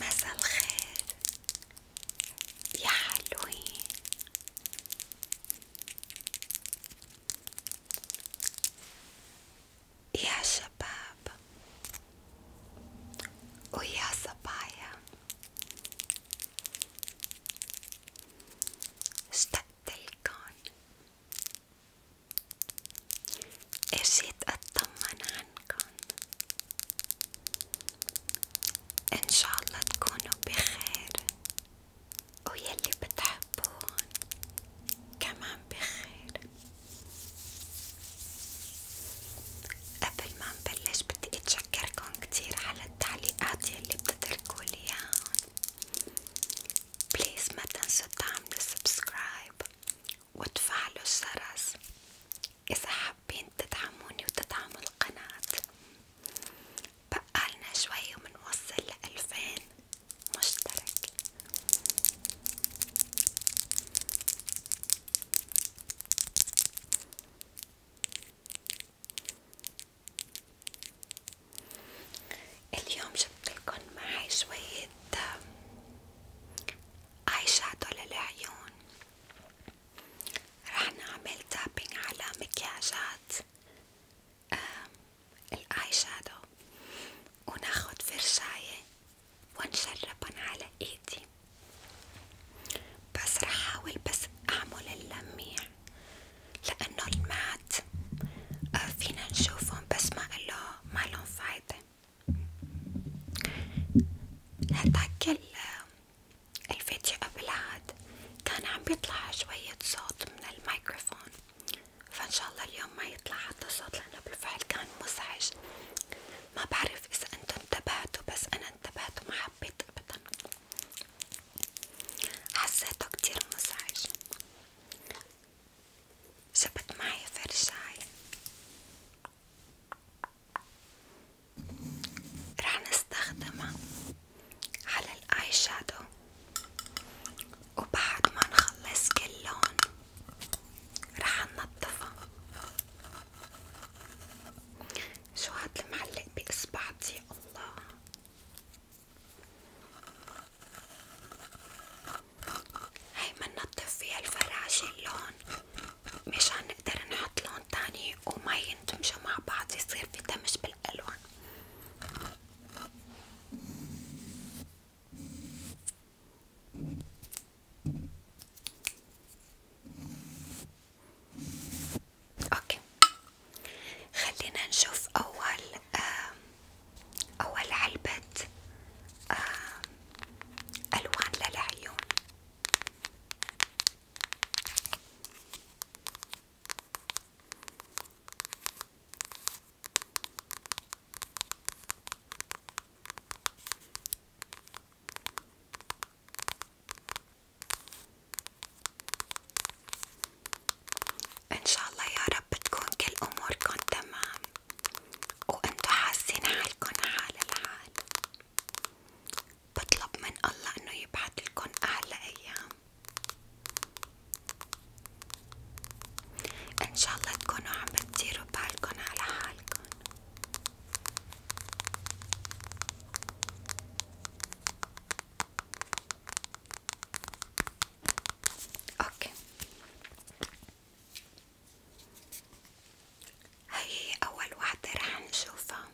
مساء الخير يا حلوين يا شباب ويا صبايا اشتقتلكن اجيت اطمن عنكن ان شاء الله تكونوا بخير ويلي بتحبون كمان بخير قبل ما نبلش بدي اتشكركن كتير على التعليقات يلي بتتركولي اياهم بليز ما تنسوا تعملوا سبسكرايب وتفعلوا الجرس إذا حابين تدعموني وتدعموا القناة بقالنا شوي ومنوصل لألفين مشترك اليوم جبتلكن معي شوية اي شادو للعيون رح نعمل تابينج على مكياجات الاي شادو وناخد فرشاية ونشربن على ايدي بس رح حاول بس اعمل اللميع لانه المات آه، فينا نشوفهم بس ما له ما لهم فايدة هداك الفيديو قبل هاد كان عم بيطلع شوية صوت من الميكروفون فان شاء الله اليوم ما يطلع حتى صوت لانه بالفعل كان مزعج ما بعرف اذا انتم انتبهتوا بس انا انتبهت وما حبيت ابدا حسيته كتير مزعج جبت معي فرشاي رح نستخدمها على الاي شادو وبعد ما نخلص كل لون رح ننظفها شو هاد المعلق بإصبعتي الله هي مننضف فيها الفراشه اللون مشان نقدر نحط لون تاني وما يندمجوا مع بعض يصير في دمج بالالوان اوكي خلينا نشوف اول آه أول علبة آه، ألوان للعيون إن شاء الله يا رب تكون كل أموركم تمام وانتو حاسين حالكن حال الحال بطلب من الله انه يبعتلكن احلى ايام ان شاء الله تكونوا عم بتديروا بالكن على حالكن اوكي هي أول وحدة رح نشوفها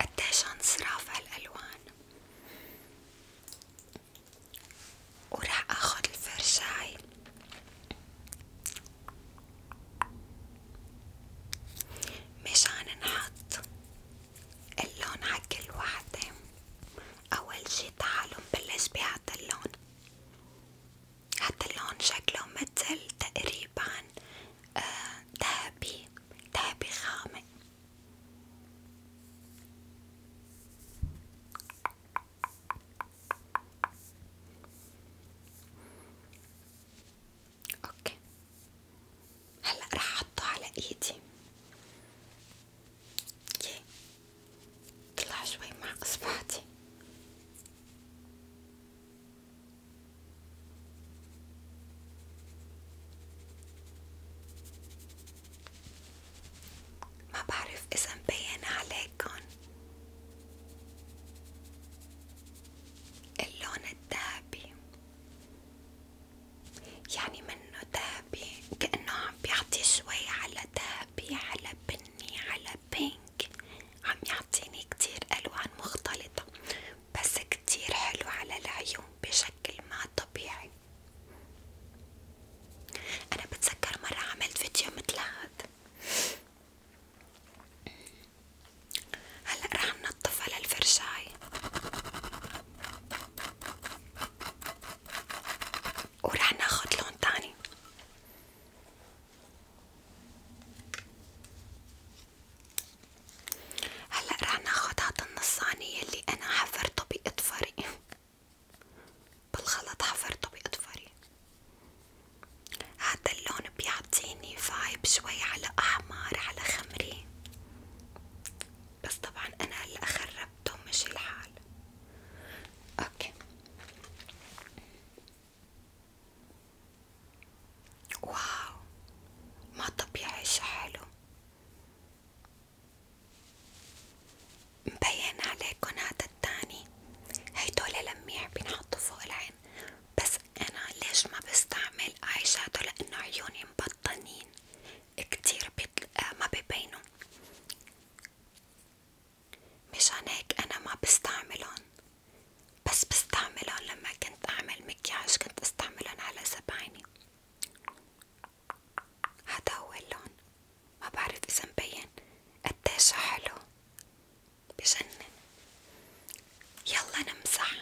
قديش انصراف هالألوان ورح اخد الفرشاي مشان نحط اللون حق كل وحدة أول شي تعالوا نبلش بهذا اللون هذا اللون شكله متل تقريبا ذهبي آه ذهبي غامق اوكي هلا رح احطه على ايدي اوكي طلع شوي مع اصبعتي ما بعرف اذا مبين عليكن اللون الذهبي يعني منه ذهبي كأنه عم بيعطي شوي على ذهبي على بني على بينك عم يعطيني كتير ألوان مختلطة بس كتير حلو على العيون بشكل ما طبيعي أنا بتذكر مرة عملت فيديو مثل هذا هلا رح ننظفها للفرشاي ورح ناخد لون تاني هلا رح ناخد هاد النصانية اللي انا حفرته باظفري بالغلط حفرته باظفري هذا اللون بيعطيني فايب شوي على أحمر على خمري بس طبعا أنا هلا خربته مشي الحال أوكي واو ما طبيعي شي حلو مبين عليكم هذا التاني هيدول لميع بينحطوا فوق العين بس أنا ليش ما بستعمل آي شادو لأنه عيوني مبطنين كتير بيطل... آه، ما ببينوا مشان هيك أنا ما بستعملهم بس بستعملهم لما كنت أعمل مكياج كنت استعملهم على سبعيني هذا هو اللون ما بعرف إذا مبين قديش حلو بجنن يلا نمسح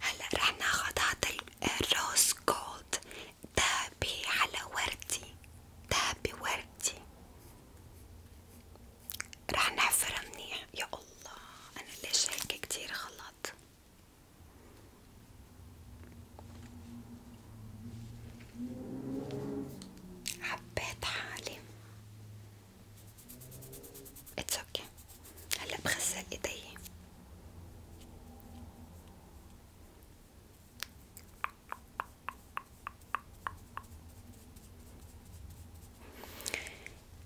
هلا رح ناخذ هذا الروز جولد ذهبي على وردي ذهبي وردي رح نحفر منيح يا الله أنا ليش هيك كتير غلط حبيت حالي اتس اوكي هلا بغسل ايدي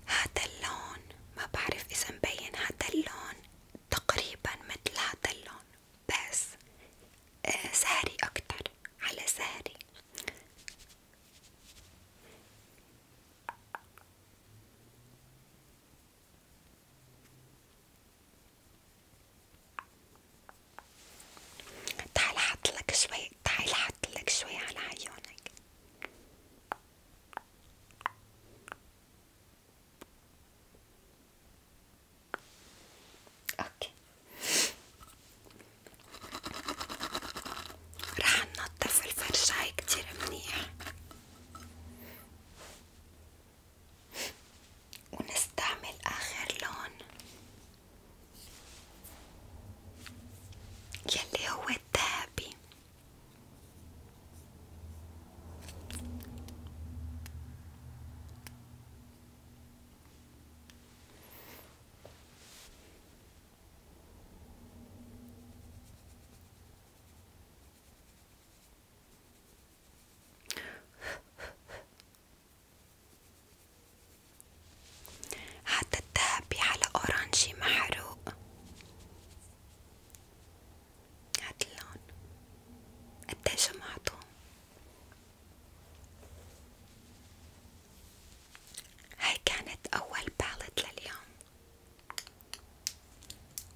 هذا اللون ما بعرف إذا مبين هذا اللون تقريبا مثل هذا اللون بس سهري آه، أكتر على سهري تعال حطلك شوي تعال حطلك شوي على عيونك اوكي رح ننظف الفرشاية كتير منيح ونستعمل آخر لون يلي هو الذهبي حتى الذهبي على أورانجي محروق هاد اللون قديه جمعتو هاي كانت أول بالت لليوم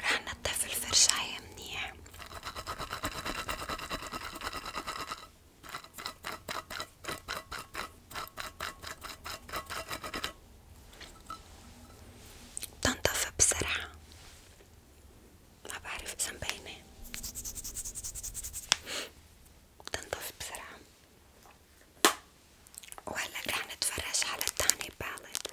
رح نطف الفرشاية منيح تنطف بسرعة ما بعرف إذا مبينة تنطف بسرعة وهلا رح نتفرج على الثاني بالت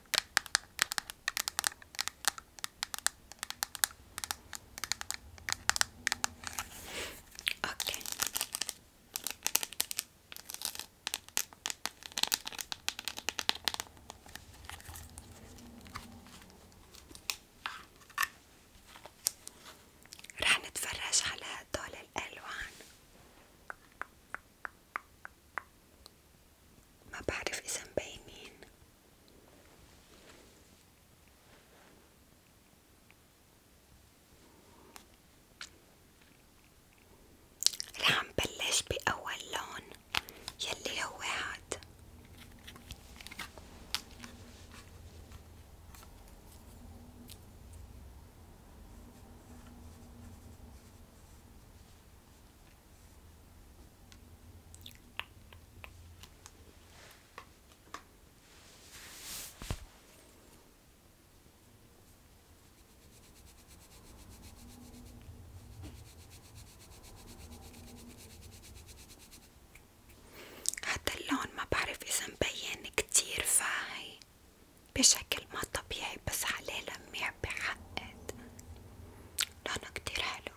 اوكي رح نتفرج على هدول الالوان ما بعرف إذا مبينين رح نبلش بأول لون يلي هو هاد هذا اللون ما بعرف إذا مبين كتير فاهي بشكل ما طبيعي بس عليه لميع بحقد لونه كتير حلو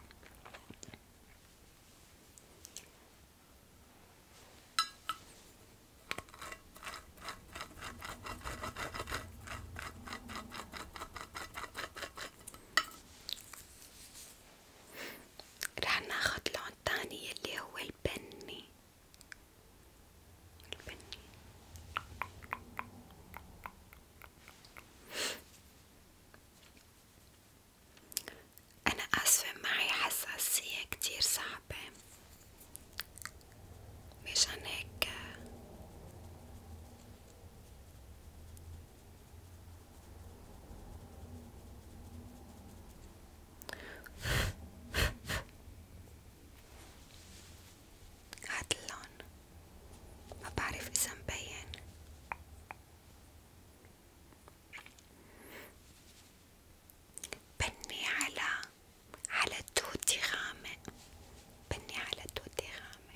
رح ناخد لون تاني اللي هو البني البني أنا آسفة معي حساسية كتير صعبة مشان هيك هاد اللون ما بعرف إذا مبين بني على على توتي غامق بني على توتي غامق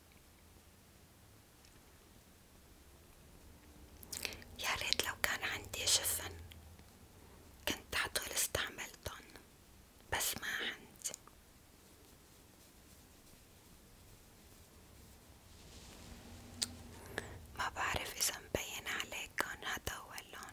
يا ريت لو كان عندي شفن كنت عطول استعملتن بس ما عندي ما بعرف اذا مبين عليكن هذا هو اللون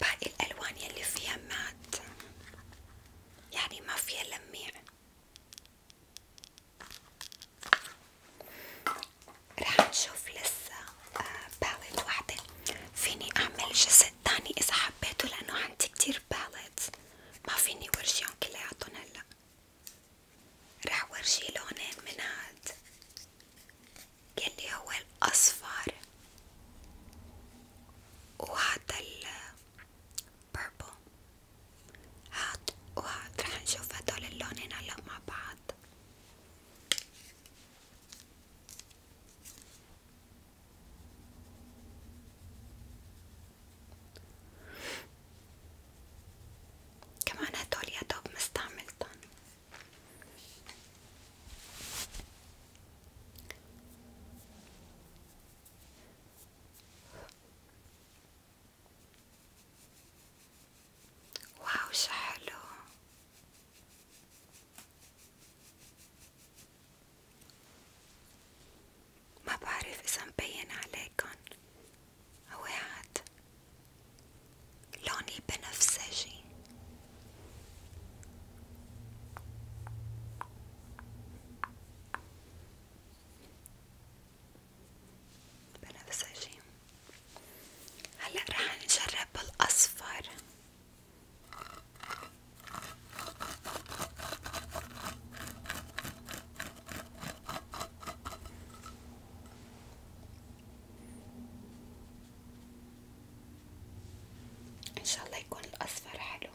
باقي الألوان يلي فيها مات يعني ما فيها لميع رح نشوف لسه باليت آه، واحدة فيني أعمل جزء تاني إذا حبيته لأنه عندي كتير باليت ما فيني ورجيهم كلياتهم هلا رح ورجي لونين من هاد يلي هو الأصفر وهذا purple هاد وهاد رح نشوف هدول اللونين هلا مع بعض كمان هدول يا دوب مستعملتن واو شو حلو ما بعرف إذا مبين عليكن هو هاد لوني بنفسجي بنفس هلا رح نجرب بالاصفر ان شاء الله يكون الاصفر حلو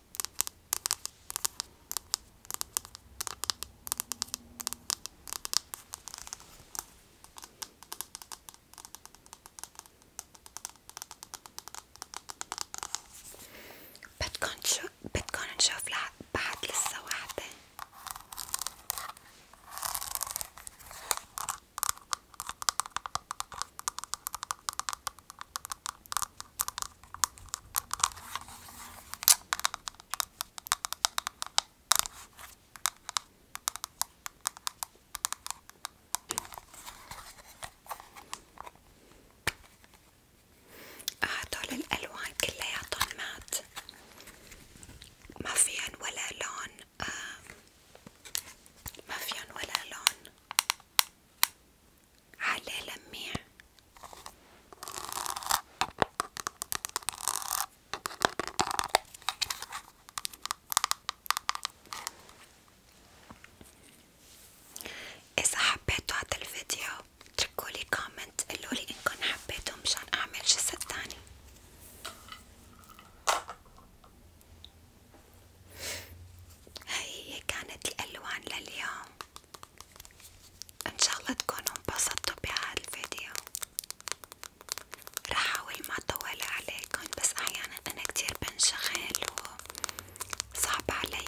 بدكن شو بدكن نشوف لح... بعد لسه واحدة هدول الألوان كلياتهم مات ما فيهن ولا لون آه ما فيهن ولا لون على لميع إذا حبيتوا هذا الفيديو اتركولي كومنت قولولي إنكن حبيتوا مشان أعمل جسد تاني هاي هي كانت الألوان لليوم إن شاء الله تكونوا انبسطتوا بهذا الفيديو راح أحاول ما أطول عليكم بس أحيانا أنا كتير بنشغل وصعب علي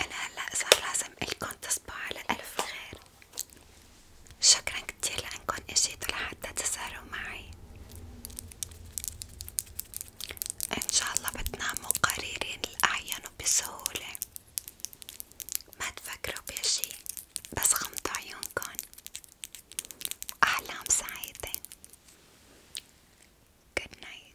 أنا هلا صار لازم إلكن تصبحوا على ألف خير، شكرا كتير لأنكن إجيتوا لحتى تسهروا معي، إن شاء الله بتناموا قريرين الأعين وبسهولة، ما تفكروا بشي، بس غمضوا عيونكن، أحلام سعيدة، Good night.